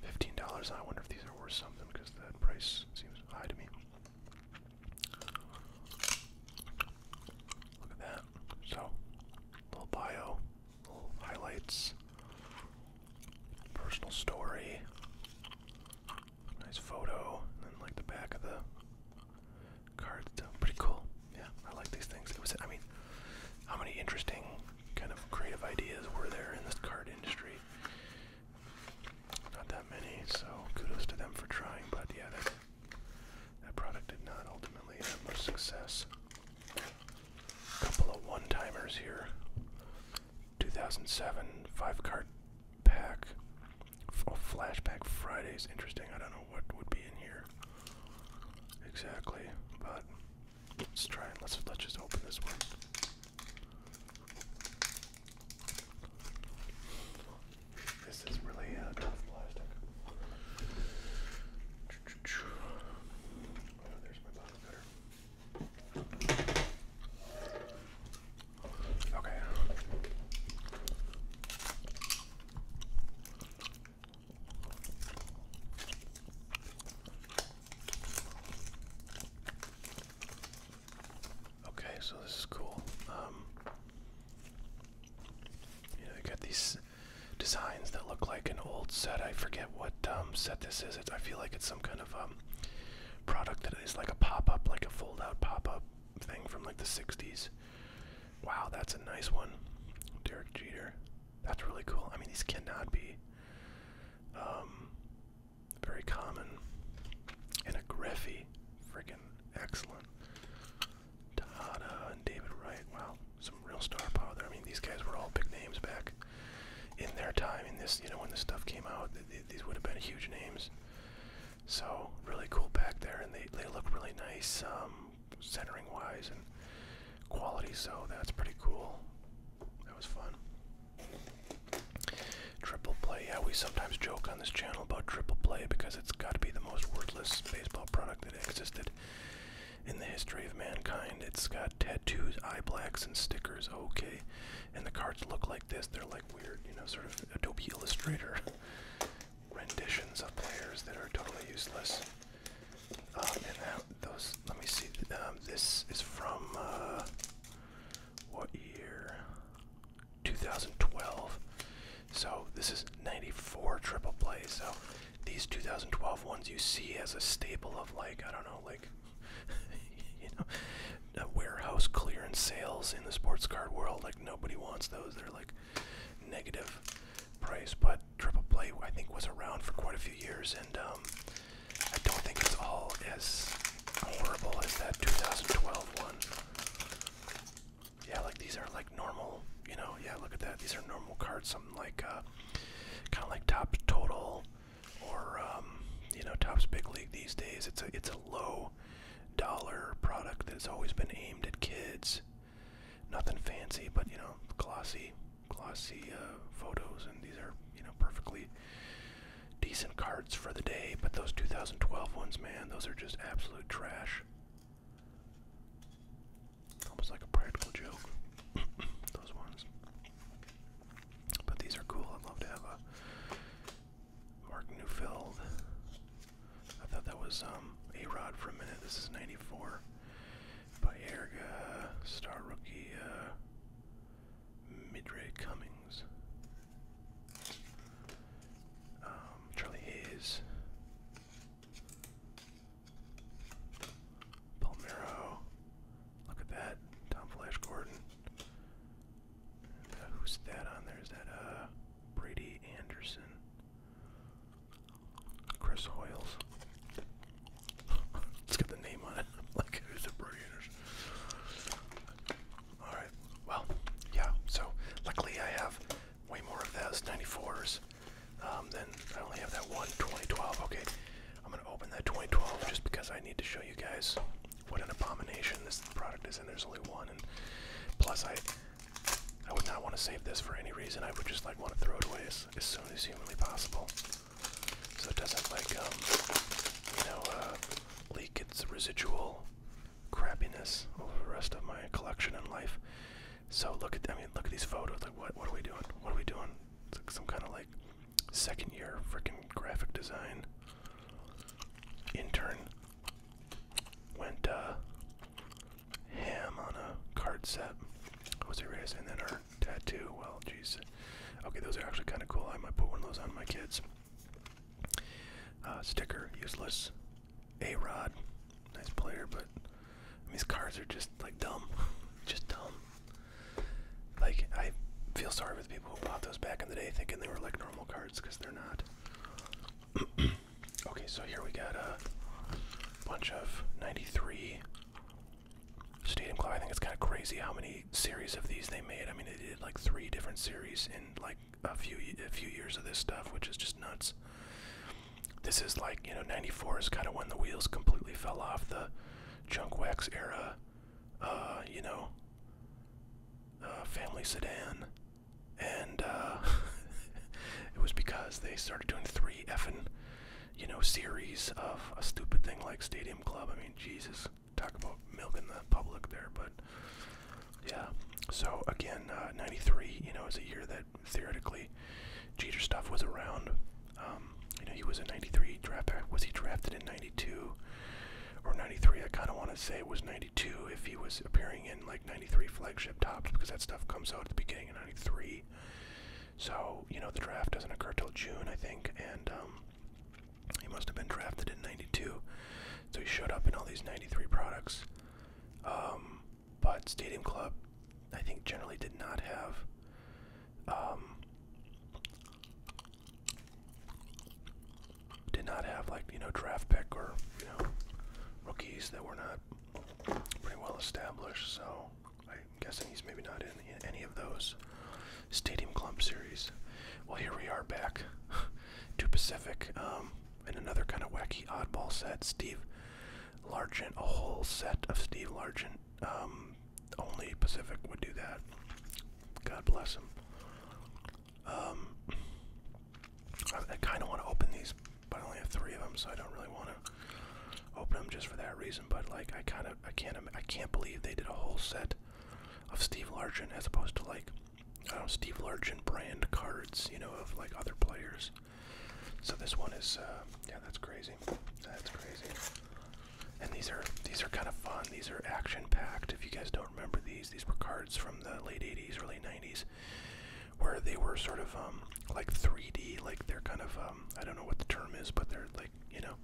Fifteen dollars. I wonder if these are worth something because that price seems high to me. Look at that. So, little bio, little highlights, personal story. Nice photo, and then like the back of the card stuff. Pretty cool. Yeah, I like these things. It was, I mean, how many interesting kind of creative ideas were there in this card industry? Not that many, so kudos to them for trying. But yeah, that that product did not ultimately have much success. Couple of one-timers here. 2007 five card pack. Oh, flashback Fridays. Interesting. I don't know what would be in here exactly, but let's try and let's let's just open this one. This is really uh, tough plastic. Oh, there's my bottle cutter. Okay. Okay, so this is cool. Um, you know, you got these designs that look like an old set. I forget what um, set this is. I feel like it's some kind of um, product that is like a pop up, like a fold out pop up thing from like the 60s. Wow, that's a nice one. Derek Jeter. That's really cool. I mean, these cannot be um, very common. And a Griffey. Freaking excellent. Tada and David Wright. Wow, some real star power there. I mean, these guys were all big names back in their time, in this, you know, when this stuff came out, th these would have been huge names. So really cool back there, and they they look really nice, um, centering wise and quality. So that's pretty cool. That was fun. Triple play. Yeah, we sometimes joke on this channel about triple play because it's got to be the most worthless baseball product that existed in the history of mankind. It's got tattoos, eye blacks, and stickers. Okay, and the cards look like this. They're like weird, you know, sort of Adobe Illustrator renditions of players that are totally useless. Um, and those, let me see. Um, this is from uh, what year? 2012. So this is 94 triple plays. So these 2012 ones you see as a staple of like I don't know, like you know, warehouse clearance sales in the sports card world. Like nobody wants those. They're like negative price. But Triple Play, I think, was around for quite a few years, and um, I don't think it's all as horrible as that 2012 one. Yeah, like these are like normal, you know. Yeah, look at that. These are normal cards. Something like, uh, kind of like top total or um, you know Topps Big League these days. It's a it's a low dollar product that's always been aimed at kids. Nothing fancy, but you know glossy, glossy uh, photos, and these are you know perfectly decent cards for the day. But those 2012 ones, man, those are just absolute trash. Almost like a practical joke. those ones. But these are cool. I'd love to have a Mark Newfield. I thought that was um, A Rod for a minute. This is 94. Bayerga, star rookie, uh, Midray Cummings. Um, Charlie Hayes. Palmero. Look at that. Tom Flash Gordon who's that on there? Is that uh, Brady Anderson? Chris Hoyles. Let's get the name on it. like who's the Brady Anderson? Alright, well, yeah, so luckily I have way more of those 94s. Um, than I only have that one 2012. Okay, I'm gonna open that 2012 just because I need to show you guys what an abomination this product is, and there's only one. And plus, I I would not want to save this for any reason. I would just like want to throw it away as, soon as humanly possible, so it doesn't like um, you know uh, leak its residual crappiness over the rest of my collection in life. So look at I mean look at these photos. Like what what are we doing? What are we doing? It's like some kind of like second year freaking graphic design intern went uh, ham on a card set. Jose Reyes, and then our tattoo. Well, jeez. Okay, those are actually kind of cool. I might put one of those on my kids. Uh, sticker, useless. A Rod, nice player, but these cards are just like dumb. just dumb. Like, I feel sorry for the people who bought those back in the day thinking they were like normal cards because they're not. okay, so here we got a bunch of 93 Stadium Clock. I think it's kind of crazy how many series of these they made. I mean, they did like three different series in like a few a few years of this stuff, which is just nuts. This is like, you know, 94 is kind of when the wheels completely fell off the junk wax era. Uh, you know, uh, family sedan, and uh, it was because they started doing three effing, you know, series of a stupid thing like Stadium Club. I mean, Jesus, talk about milking the public there, but yeah. So again, '93, you know, is a year that theoretically Jeter stuff was around. Um, you know, he was a '93 draft. Was he drafted in '92? or 93. I kind of want to say it was 92 if he was appearing in like 93 flagship tops because that stuff comes out at the beginning of 93. So, you know, the draft doesn't occur till June, I think, and um, he must have been drafted in 92. So he showed up in all these 93 products. Um, but Stadium Club, I think, generally did not have. Um, did not have like you know draft pick or you know rookies that were not pretty well established. So I'm guessing he's maybe not in, any of those Stadium Club series. Well, here we are back to Pacific um, in another kind of wacky oddball set. Steve Largent, a whole set of Steve Largent um, only Pacific would do that. God bless him. Um, I, kind of want to open these, but I only have three of them, so I don't really want to open them just for that reason. But like, I kind of, I can't, I can't believe they did a whole set of Steve Largent as opposed to like, I don't Steve Largent brand cards, you know, of like other players. So this one is, uh, yeah, that's crazy. That's crazy. And these are these are kind of fun. These are action packed. If you guys don't remember these, these were cards from the late 80s, early 90s, where they were sort of um, like 3D, like they're kind of um, I don't know what the term is, but they're like you know,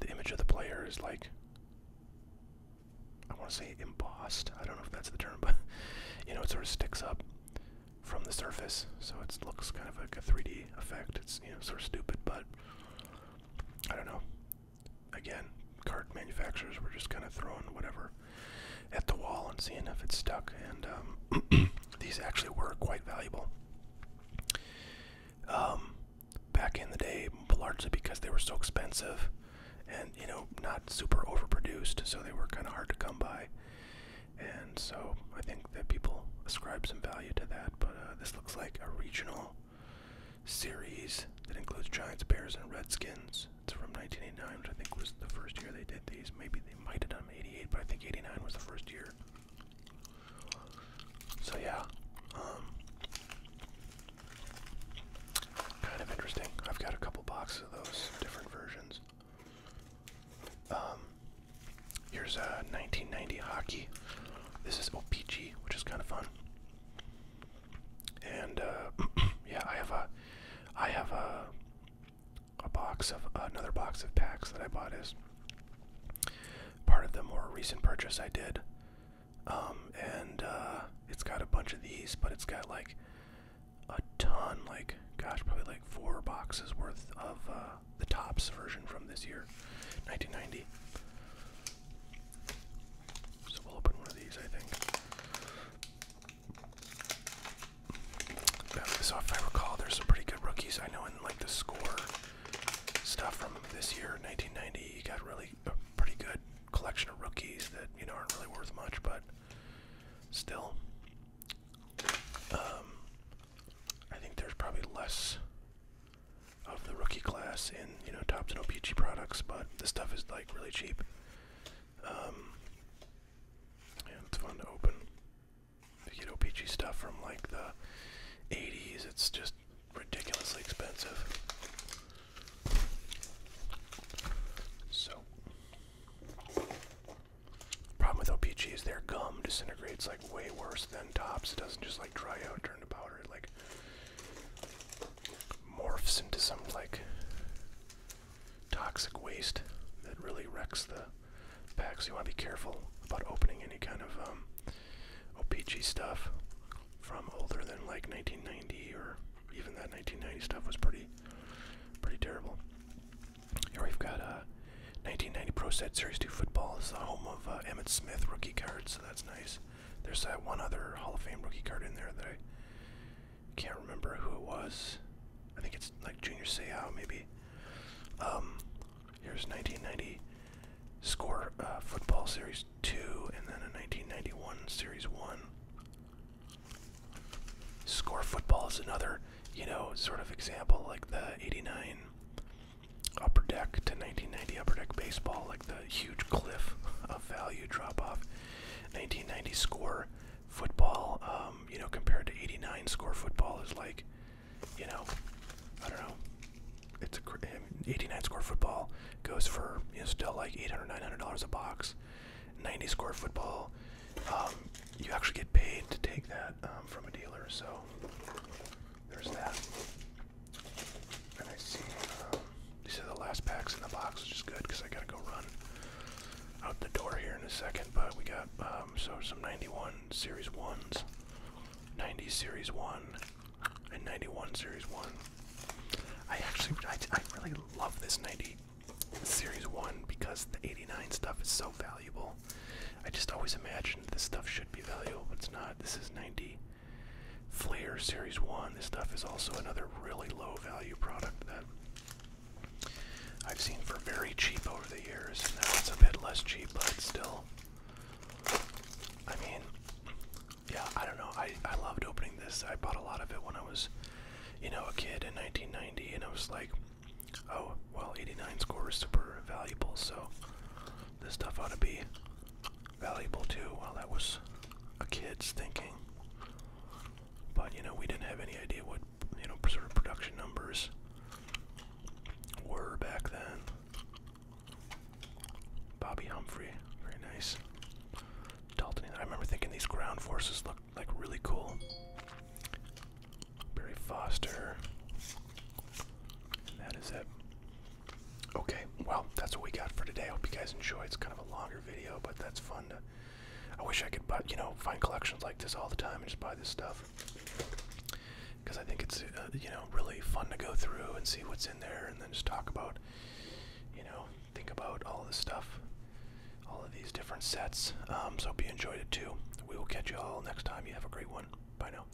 the image of the player is like I want to say embossed. I don't know if that's the term, but you know, it sort of sticks up from the surface, so it looks kind of like a 3D effect. It's you know sort of stupid, but I don't know again, card manufacturers were just kind of throwing whatever at the wall and seeing if it stuck. And um, these actually were quite valuable um, back in the day, largely because they were so expensive and you know not super overproduced, so they were kind of hard to come by. And so I think that people ascribe some value to that. But uh, this looks like a regional series that includes Giants, Bears, and Redskins. It's from 1989, which I think was the first year they did these. Maybe they might have done 88, but I think 89 was the first year. So yeah, um, kind of interesting. I've got a couple boxes of those different versions. Um, here's a uh, 1990 hockey. This is OPG, which is kind of fun. And uh, yeah, I have a, I have a, a box of another box of packs that I bought as part of the more recent purchase I did. Um, and uh, it's got a bunch of these, but it's got like a ton, like gosh, probably like four boxes worth of uh, the tops version from this year, 1990. So we'll open one of these, I think. So if I recall, there's some pretty good rookies. I know in like the score stuff from this year, 1990, you got really a pretty good collection of rookies that you know aren't really worth much, but still, um, I think there's probably less of the rookie class in you know Topps and OPG products, but the stuff is like really cheap. Um, and it's fun to open. If you get OPG stuff from like the 80s, it's just ridiculously expensive. So, problem with OPG is their gum disintegrates like way worse than Tops. It doesn't just like dry out turned to like morphs into some like toxic waste that really wrecks the packs. you want to be careful about opening any kind of um, OPG stuff from older than like 1990 or even that 1990 stuff was pretty pretty terrible. Here we've got a uh, 1990 Pro Set Series 2 football. It's the home of uh, Emmett Smith rookie cards, so that's nice. There's that one other Hall of Fame rookie card in there that I can't remember who it was. I think it's like Junior Seau maybe. Um, here's 1990 score uh, football series two, and then a 1991 series one. Score football is another, you know, sort of example like the '89 Upper Deck to 1990 Upper Deck Baseball, like the huge cliff of value drop off. 1990 score football, um, you know, compared to 89 score football is like, you know, I don't know. It's a 89 score football goes for you know still like 800 900 dollars a box. 90 score football, um, you actually get paid to take that um, from a dealer. So there's that. And I see um, these are the last packs in the box, which is good because I gotta go run out the door here in a second. But we got um, so some 91 series ones, 90 series one, and 91 series one. I actually I, I really love this 90 series one because the 89 stuff is so valuable. I just always imagined this stuff should be valuable, but it's not. This is 90. Flair Series 1. This stuff is also another really low value product that I've seen for very cheap over the years. And now it's a bit less cheap, but still. I mean, yeah, I don't know. I, I loved opening this. I bought a lot of it when I was, you know, a kid in 1990, and I was like, oh, well, 89 score is super valuable, so this stuff ought to be valuable too. While well, that was a kid's thinking, but you know we didn't have any idea what you know sort of production numbers were back then. Bobby Humphrey, very nice. Dalton, I remember thinking these ground forces looked like really cool. Barry Foster. that is it. Okay, well, that's what we got for today. I hope you guys enjoyed. It's kind of a longer video, but that's fun I wish I could, buy, you know, find collections like this all the time and just buy this stuff because I think it's uh, you know really fun to go through and see what's in there, and then just talk about, you know, think about all this stuff, all of these different sets. Um, so hope you enjoyed it too. We will catch you all next time. You have a great one. Bye now.